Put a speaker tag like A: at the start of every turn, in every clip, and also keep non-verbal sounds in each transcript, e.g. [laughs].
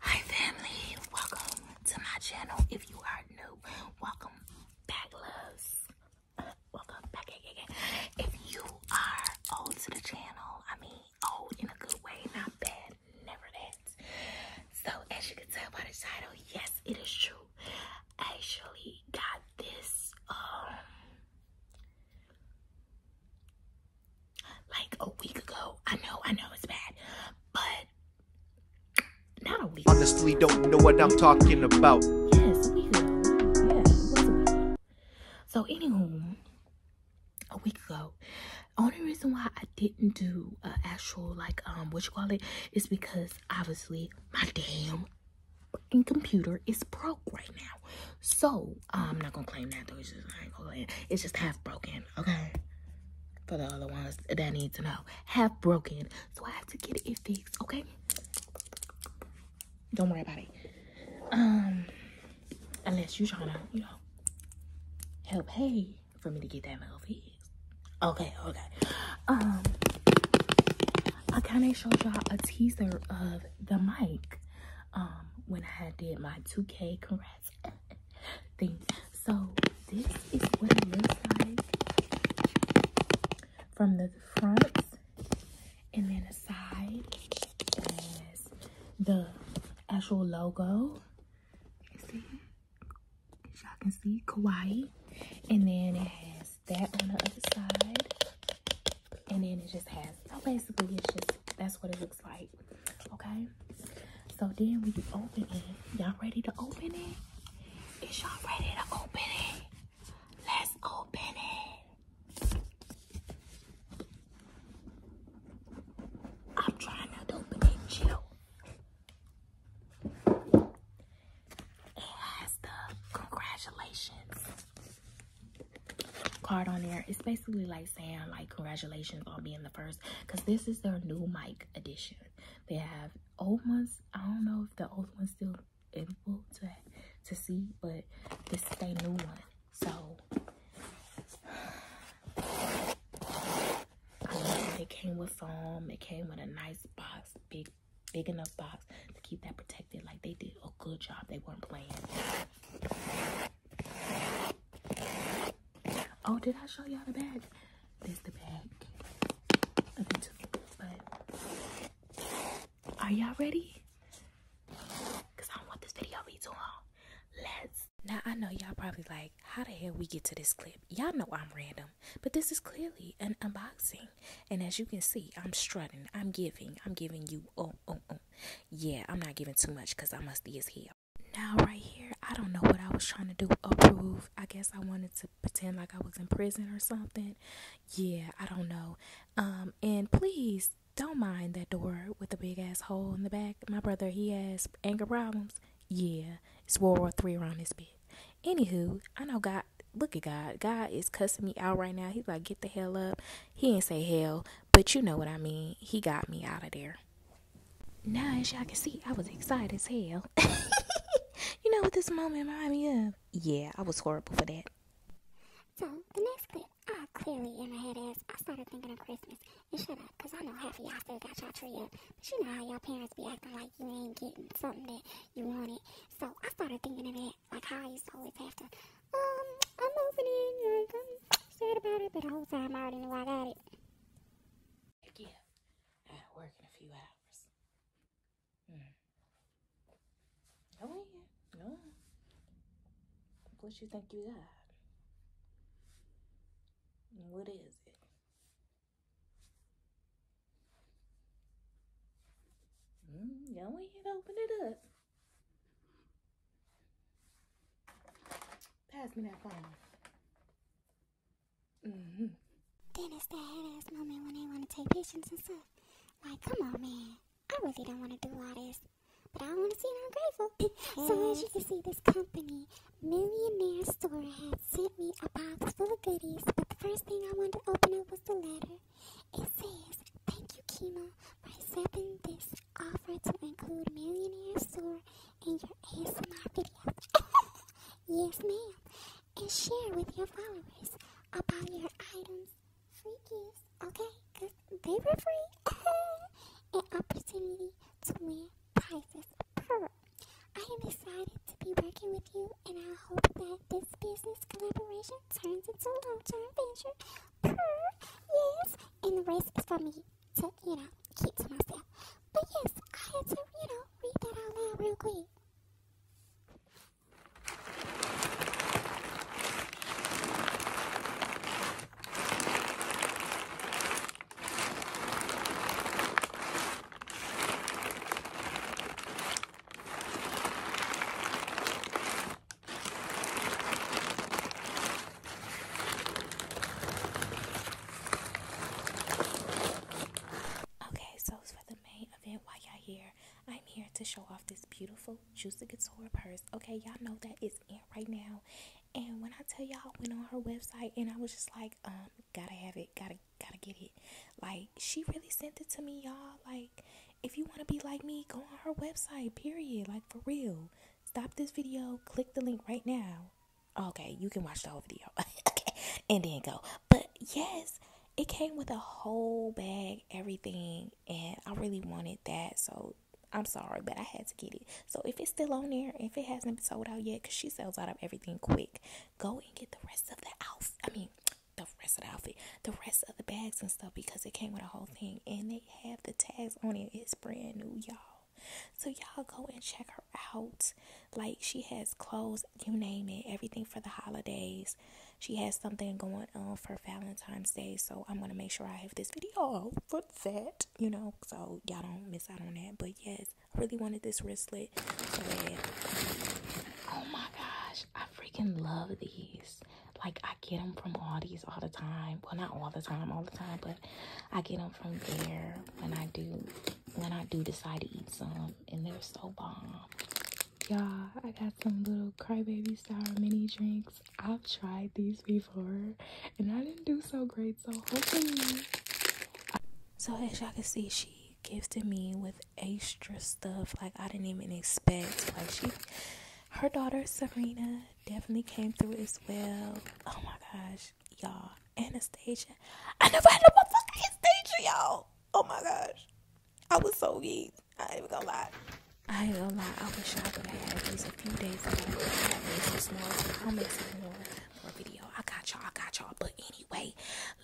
A: Hi family, welcome to my channel. If you are new, welcome back loves. Welcome back again. If you are old to the channel, I mean old in a good way, not bad, never that. So as you can tell by the title, yes it is true. actually got this um, like a week ago. I know, I know it's bad, but not a week. Honestly, don't know what I'm talking about. Yes, a week ago. Yeah, it was a week. So, anywho, a week ago, only reason why I didn't do uh, actual like um what you call it is because obviously my damn computer is broke right now. So Oh, I'm not gonna claim that though. It's just half broken, okay? For the other ones that need to know, half broken. So I have to get it fixed, okay? Don't worry about it. Um, unless you trying to, you know, help pay for me to get that mail fixed. Okay, okay. Um, I kind of showed y'all a teaser of the mic. Um, when I did my 2K correct [laughs] So this is what it looks like from the front and then the side is the actual logo. See? y'all can see kawaii and then it has that on the other side and then it just has so basically it's just that's what it looks like okay so then we you open it y'all ready to open it is y'all ready to open it let's open it i'm trying not to open it chill it has the congratulations card on there it's basically like saying like congratulations on being the first because this is their new mic edition they have old ones i don't know if the old one's still in to to see but this is a new one so [sighs] I mean, it came with foam it came with a nice box big big enough box to keep that protected like they did a good job they weren't playing Oh, did I show y'all the bag? This the bag of the But are y'all ready? Cause I don't want this video to be too long. Let's. Now I know y'all probably like, how the hell we get to this clip? Y'all know I'm random, but this is clearly an unboxing. And as you can see, I'm strutting. I'm giving. I'm giving you oh oh oh yeah, I'm not giving too much because I'm musty as hell. Now, right here, I don't know what I was trying to do. Approve. I guess I wanted to pretend like I was in prison or something. Yeah, I don't know. Um, and please don't mind that door with the big ass hole in the back. My brother, he has anger problems. Yeah, it's World War Three around this bit. Anywho, I know God. Look at God. God is cussing me out right now. He's like, get the hell up. He ain't say hell, but you know what I mean. He got me out of there. Now, as y'all can see, I was excited as hell. [laughs] you know what this moment reminded me of? Yeah, I was horrible for that. So, the next clip, I clearly in my head as I started
B: thinking of Christmas. And shut up, because I know half of y'all still got y'all tree up. But you know how y'all parents be acting like you ain't getting something that you wanted. So, I started thinking of it like how I used to always have to um, I'm listening, like, I'm sad about it, but the whole time I already knew I got it.
A: Yeah, I gotta work in a few hours. Hmm. Go oh, No. What you think you got? What is it? Mm, go ahead, open it up. Pass me that phone. Mm-hmm. Then it's the head
B: ass moment when they want to take patience and stuff. Like, come on, man. I really don't want to do all this. But I want to see seem grateful. [laughs] so as you can see, this company, Millionaire Store, had sent me a box full of goodies. But the first thing I wanted to open up was the letter. It says, Thank you, Kima, for accepting this offer to include Millionaire Store in your ASMR videos. [laughs] yes, ma'am. And share with your followers about your items, freebies. gifts, okay? Because they were free. [laughs] An opportunity to win prizes per. I am excited to be working with you, and I hope that this business collaboration turns into a long-term venture yes, and the rest is for me to, you know, keep to myself. But yes, I had to, you know, read that out loud real quick.
A: Okay, so for the main event, why y'all here? I'm here to show off this beautiful Juicy Couture purse. Okay, y'all know that it's in right now. And when I tell y'all, I went on her website and I was just like, um, gotta have it, gotta, gotta get it. Like, she really sent it to me, y'all. Like, if you want to be like me, go on her website, period. Like, for real. Stop this video, click the link right now. Okay, you can watch the whole video. [laughs] okay, and then go. But yes, it came with a whole bag, everything, and I really wanted that. So I'm sorry, but I had to get it. So if it's still on there, if it hasn't been sold out yet, because she sells out of everything quick, go and get the rest of the house. I mean, the rest of the outfit, the rest of the bags and stuff because it came with a whole thing and they have the tags on it. It's brand new, y'all. So y'all go and check her out. Like she has clothes, you name it, everything for the holidays. She has something going on for Valentine's Day, so I'm gonna make sure I have this video for that, you know, so y'all don't miss out on that. But yes, I really wanted this wristlet. oh my gosh, I freaking love these. Like I get them from Aldi's all the time. Well, not all the time, all the time, but I get them from there when I do when I do decide to eat some, and they're so bomb. Y'all, I got some little crybaby sour mini drinks. I've tried these before, and I didn't do so great. So hopefully, so as y'all can see, she gifted me with extra stuff like I didn't even expect. Like she her daughter Serena definitely came through as well. Oh my gosh, y'all. Anastasia. I never had a motherfucking Anastasia, y'all. Oh my gosh. I was so geek. I ain't even gonna lie. I ain't gonna lie, I wish I would have had these a few days ago. I made some more. I'll make some more, more video. I got y'all, I got y'all. But anyway,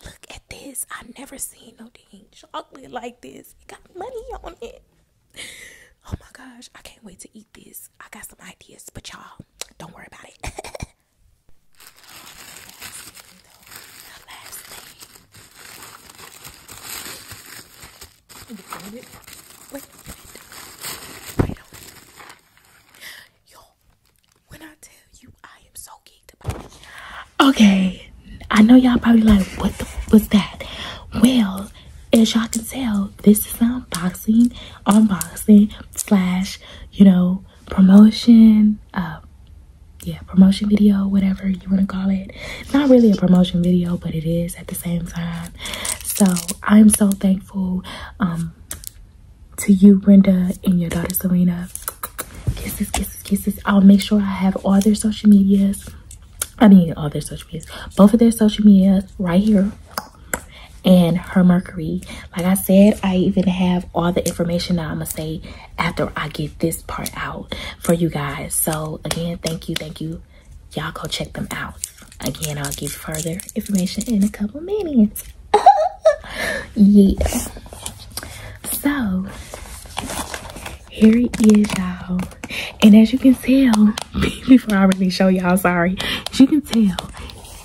A: look at this. I never seen no dang chocolate like this. It got money on it. Oh my gosh, I can't wait to eat this. I got some ideas, but y'all, don't worry about it. [laughs] Wait, wait, wait, wait. Yo, when I tell Okay, I know y'all probably like, what the was that? Well, as y'all can tell, this is unboxing, unboxing slash, you know, promotion. Uh, yeah, promotion video, whatever you want to call it. Not really a promotion video, but it is at the same time. So I'm so thankful um, to you, Brenda, and your daughter Serena Kisses, kisses, kisses. I'll make sure I have all their social medias. I mean, all their social medias. Both of their social medias right here. And her Mercury. Like I said, I even have all the information that I'm going to say after I get this part out for you guys. So, again, thank you, thank you. Y'all go check them out. Again, I'll give further information in a couple minutes. [laughs] Yes. So here it is, y'all. And as you can tell, [laughs] before I really show y'all, sorry, as you can tell,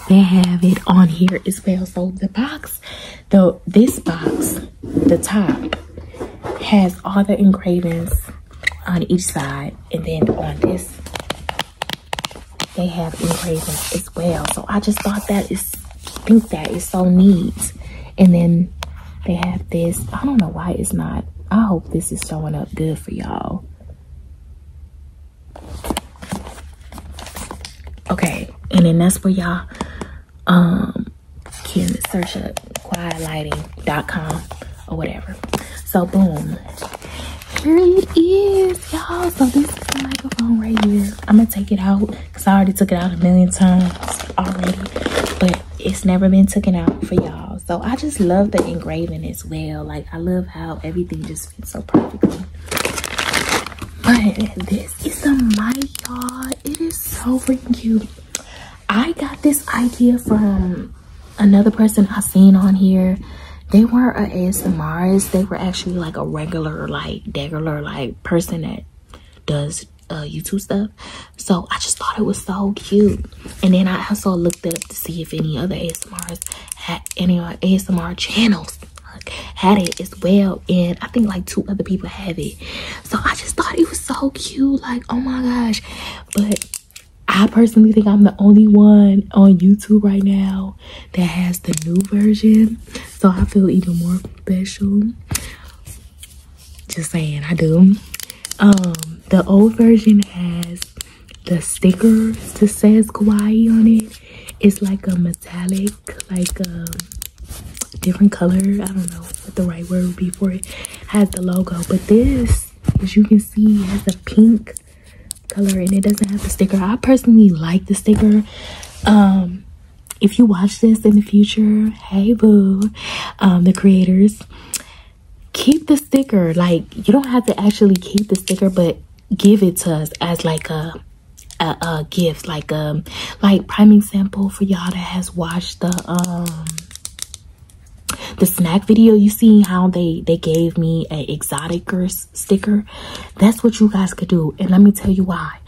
A: they have it on here as well. So the box, the this box, the top has all the engravings on each side, and then on this, they have engravings well. So I just thought that is think that is so neat. And then they have this. I don't know why it's not. I hope this is showing up good for y'all. Okay, and then that's where y'all um can search up quietlighting.com or whatever. So boom. Here it is, y'all. So this is the microphone right here. I'm gonna take it out I already took it out a million times already, but it's never been taken out for y'all. So I just love the engraving as well. Like I love how everything just fits so perfectly. But this is a mic, y'all. It is so freaking cute. I got this idea from another person I seen on here. They weren't a ASMRist. They were actually like a regular, like, degular, like, person that does uh, YouTube stuff. So I just thought it was so cute. And then I also looked up to see if any other ASMRs had any other uh, ASMR channels had it as well and i think like two other people have it so i just thought it was so cute like oh my gosh but i personally think i'm the only one on youtube right now that has the new version, so I feel even more special. Just saying, I do. Um, the old version has the sticker that says kawaii on it. It's like a metallic, like a um, different color. I don't know what the right word would be for it. Has the logo, but this, as you can see, has a pink color and it doesn't have the sticker. I personally like the sticker. Um, if you watch this in the future, hey boo, um, the creators, keep the sticker. Like you don't have to actually keep the sticker, but give it to us as like a a, gift, like um, like priming sample for y'all that has watched the um the snack video you seen how they they gave me a exotic or sticker that's what you guys could do and let me tell you why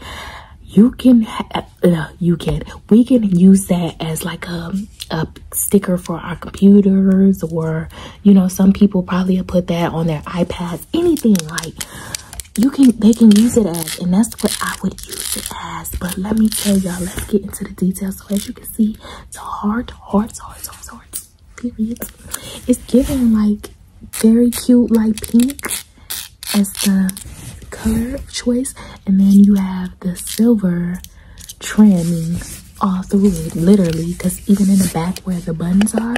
A: you can uh, you can we can use that as like a, a sticker for our computers or you know some people probably put that on their ipads anything like you can they can use it as and that's what i would use it as but let me tell y'all let's get into the details so as you can see it's heart hearts hearts hearts hearts periods it's giving like very cute light pink as the color choice and then you have the silver trimming all through it literally because even in the back where the buttons are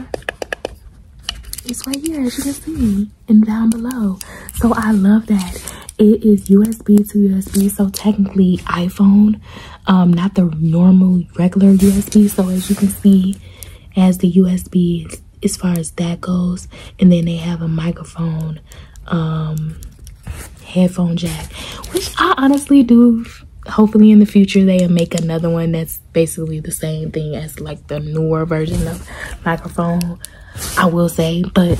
A: it's right here as you can see and down below so i love that it is usb to usb so technically iphone um not the normal regular usb so as you can see as the USB as far as that goes. And then they have a microphone, um, headphone jack, which I honestly do. Hopefully in the future they make another one that's basically the same thing as like the newer version of microphone, I will say. But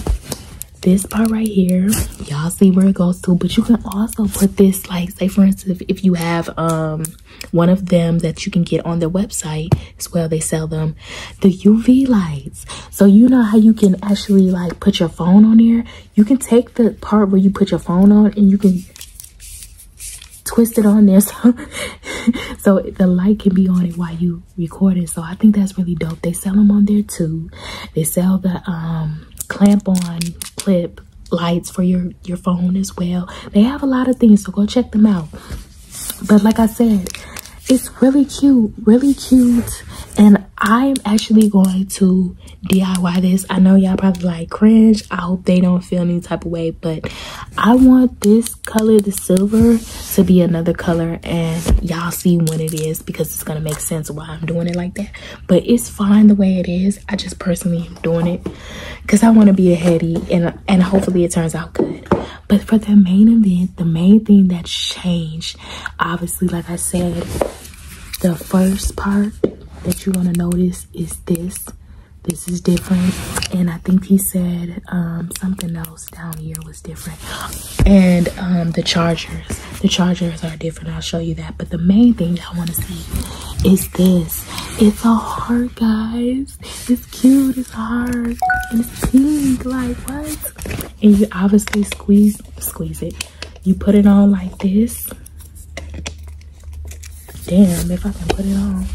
A: this part right here y'all see where it goes to but you can also put this like say for instance if you have um one of them that you can get on their website as well, they sell them the UV lights. So you know how you can actually like put your phone on there? You can take the part where you put your phone on and you can twist it on there [laughs] so, the light can be on it while you record it. So I think that's really dope. They sell them on there too. They sell the um, clamp on clip lights for your your phone as well they have a lot of things so go check them out but like i said it's really cute really cute and i'm actually going to diy this i know y'all probably like cringe i hope they don't feel any type of way but i want this color the silver to be another color and y'all see when it is because it's gonna make sense why i'm doing it like that but it's fine the way it is I just personally am doing it because I want to be a heady and and hopefully it turns out good. But for the main event, the main thing that changed, obviously, like I said, the first part that you're gonna notice is this. This is different, and I think he said um, something else down here was different. And um, the chargers, the chargers are different. I'll show you that. But the main thing I want to see is this it's a heart, guys. It's cute. It's a heart. And it's pink. Like, what? And you obviously squeeze, squeeze it. You put it on like this. Damn, if I can put it on.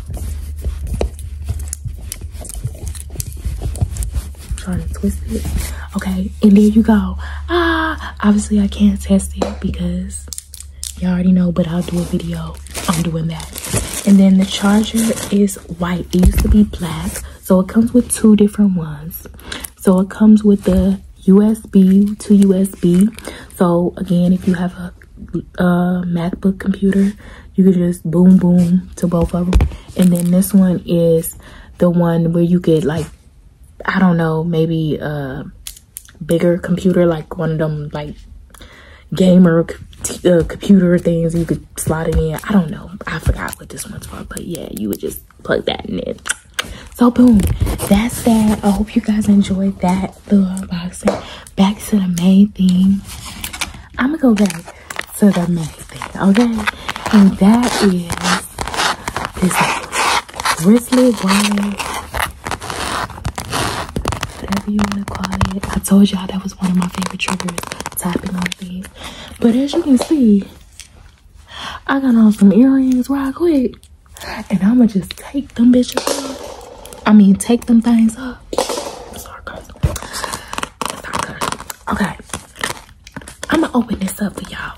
A: trying to twist it. Okay, and there you go. Ah, obviously I can't test it because y'all already know but i'll do a video on doing that and then the charger is white it used to be black so it comes with two different ones so it comes with the usb to usb so again if you have a, a macbook computer you can just boom boom to both of them and then this one is the one where you get like i don't know maybe uh bigger computer, like one of them like gamer uh, computer things you could slot it in. I don't know. I forgot what this one's for, but yeah, you would just plug that in. It. So boom, that's that. I hope you guys enjoyed that The unboxing. Back to the main thing. I'm gonna go back to the main thing, okay? And that is this bracelet, wallet, whatever you want to call it. I told y'all that was one of my favorite triggers, tapping on things. But as you can see, I got on some earrings right quick. And I'ma just take them bitches off. I mean, take them things off. okay. I'ma open this up for y'all.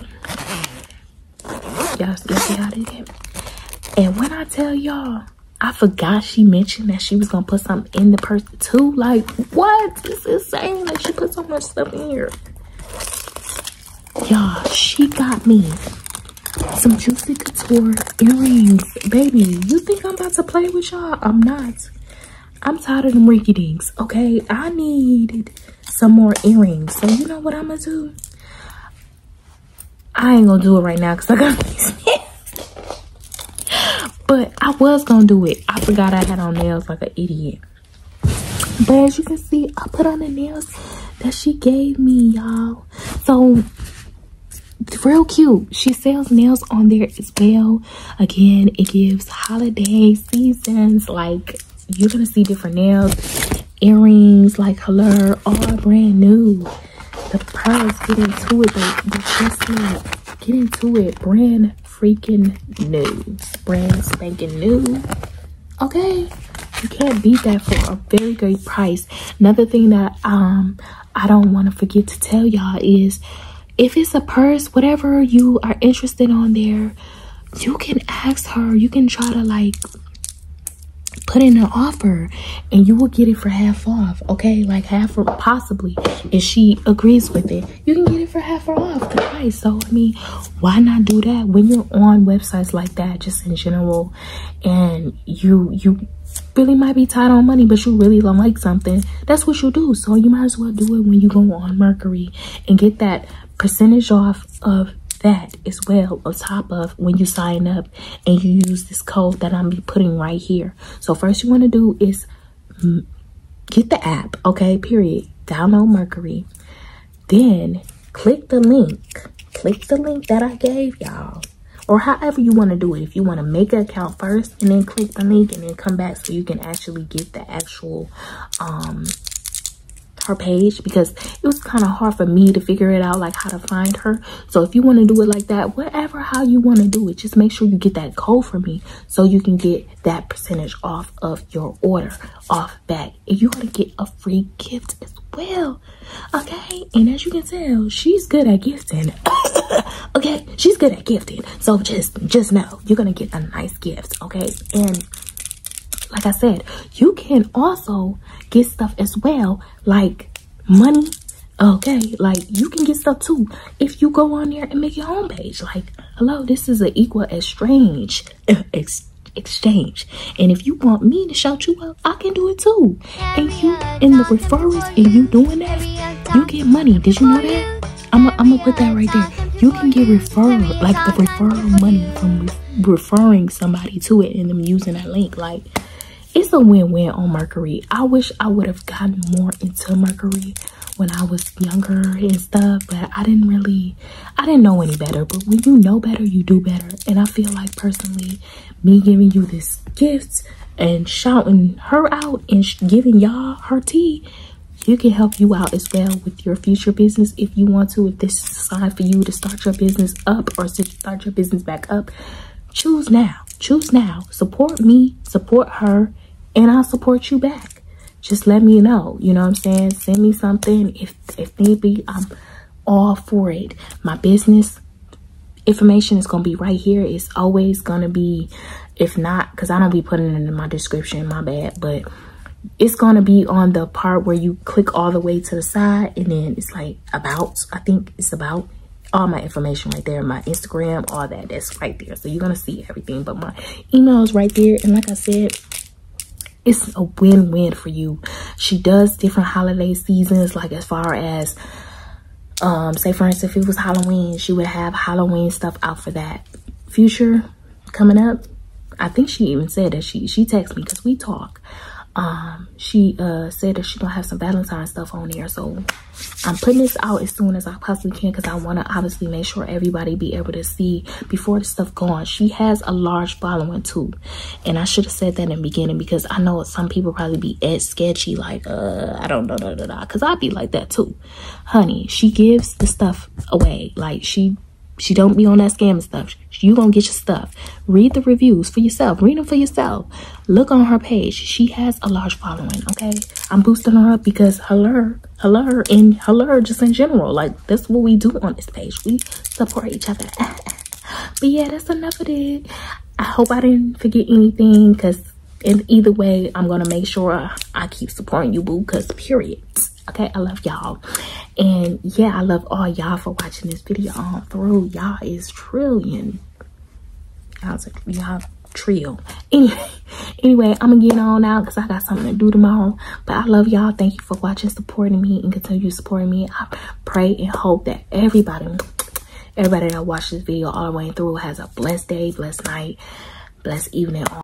A: Y'all see how they did? And when I tell y'all, I forgot she mentioned that she was gonna put something in the purse too. Like, what? It's insane. Like, she put so much stuff in here. Y'all, she got me some Juicy Couture earrings. Baby, you think I'm about to play with y'all? I'm not. I'm tired of them rinky dinks, okay? I needed some more earrings. So, you know what I'm gonna do? I ain't gonna do it right now because I got [laughs] these but I was gonna do it. I forgot I had on nails like an idiot. But as you can see, I put on the nails that she gave me, y'all. So, it's real cute. She sells nails on there as well. Again, it gives holiday seasons like you're gonna see different nails earrings like hello all brand new the pearls get into it but, but just like get into it brand freaking new brand spanking new okay you can't beat that for a very great price another thing that um i don't want to forget to tell y'all is if it's a purse whatever you are interested on there you can ask her you can try to like put in an offer and you will get it for half off okay like half or possibly if she agrees with it you can get it for half off the price so i mean why not do that when you're on websites like that just in general and you you really might be tight on money but you really like something that's what you do so you might as well do it when you go on mercury and get that percentage off of that as well on top of when you sign up and you use this code that i'm putting right here so first you want to do is get the app okay period download mercury then click the link click the link that i gave y'all or however you want to do it if you want to make an account first and then click the link and then come back so you can actually get the actual um, her page because it was kind of hard for me to figure it out like how to find her so if you want to do it like that whatever how you want to do it just make sure you get that code for me so you can get that percentage off of your order off back and you want to get a free gift as well okay and as you can tell she's good at gifting [coughs] okay she's good at gifting so just just know you're gonna get a nice gift okay and like I said, you can also get stuff as well, like money. Okay, like you can get stuff too if you go on there and make your home page. Like, hello, this is an equal exchange. [laughs] exchange. And if you want me to shout you out, I can do it too. And you in the referrals and you doing that, you get money. Did you know that? I'm gonna put that right there you can get referral, like the referral money from referring somebody to it and them using that link. Like, it's a win-win on Mercury. I wish I would have gotten more into Mercury when I was younger and stuff, but I didn't really, I didn't know any better. But when you know better, you do better. And I feel like personally, me giving you this gift and shouting her out and giving y'all her tea you can help you out as well with your future business if you want to. If this is time for you to start your business up or start your business back up, choose now. Choose now. Support me, support her, and I'll support you back. Just let me know. You know what I'm saying? Send me something if if need be. I'm all for it. My business information is gonna be right here. It's always gonna be, if not, because I don't be putting it in my description. My bad, but it's gonna be on the part where you click all the way to the side and then it's like about i think it's about all my information right there my instagram all that that's right there so you're gonna see everything but my email is right there and like i said it's a win-win for you she does different holiday seasons like as far as um say for instance if it was halloween she would have halloween stuff out for that future coming up. I think she even said that she she texted me because we talk. Um, she uh said that she gonna have some Valentine stuff on here, so I'm putting this out as soon as I possibly can because I want to obviously make sure everybody be able to see before the stuff gone. She has a large following too, and I should have said that in the beginning because I know some people probably be at sketchy like uh I don't know no, no, no, no. because I'd be like that too, honey. She gives the stuff away like she she don't be on that scam and stuff. You gonna get your stuff. Read the reviews for yourself. Read them for yourself. Look on her page. She has a large following. Okay, I'm boosting her up because hello, hello, and hello just in general. Like that's what we do on this page. We support each other. [laughs] but yeah, that's enough of it. I hope I didn't forget anything. Cause in either way, I'm gonna make sure I keep supporting you, boo. Cause period okay i love y'all and yeah i love all y'all for watching this video all through y'all is 1000000000000 I was like, y'all trio anyway [laughs] anyway i'm gonna get on out because i got something to do tomorrow but i love y'all thank you for watching supporting me and continue supporting me i pray and hope that everybody everybody that watched this video all the way through has a blessed day blessed night blessed evening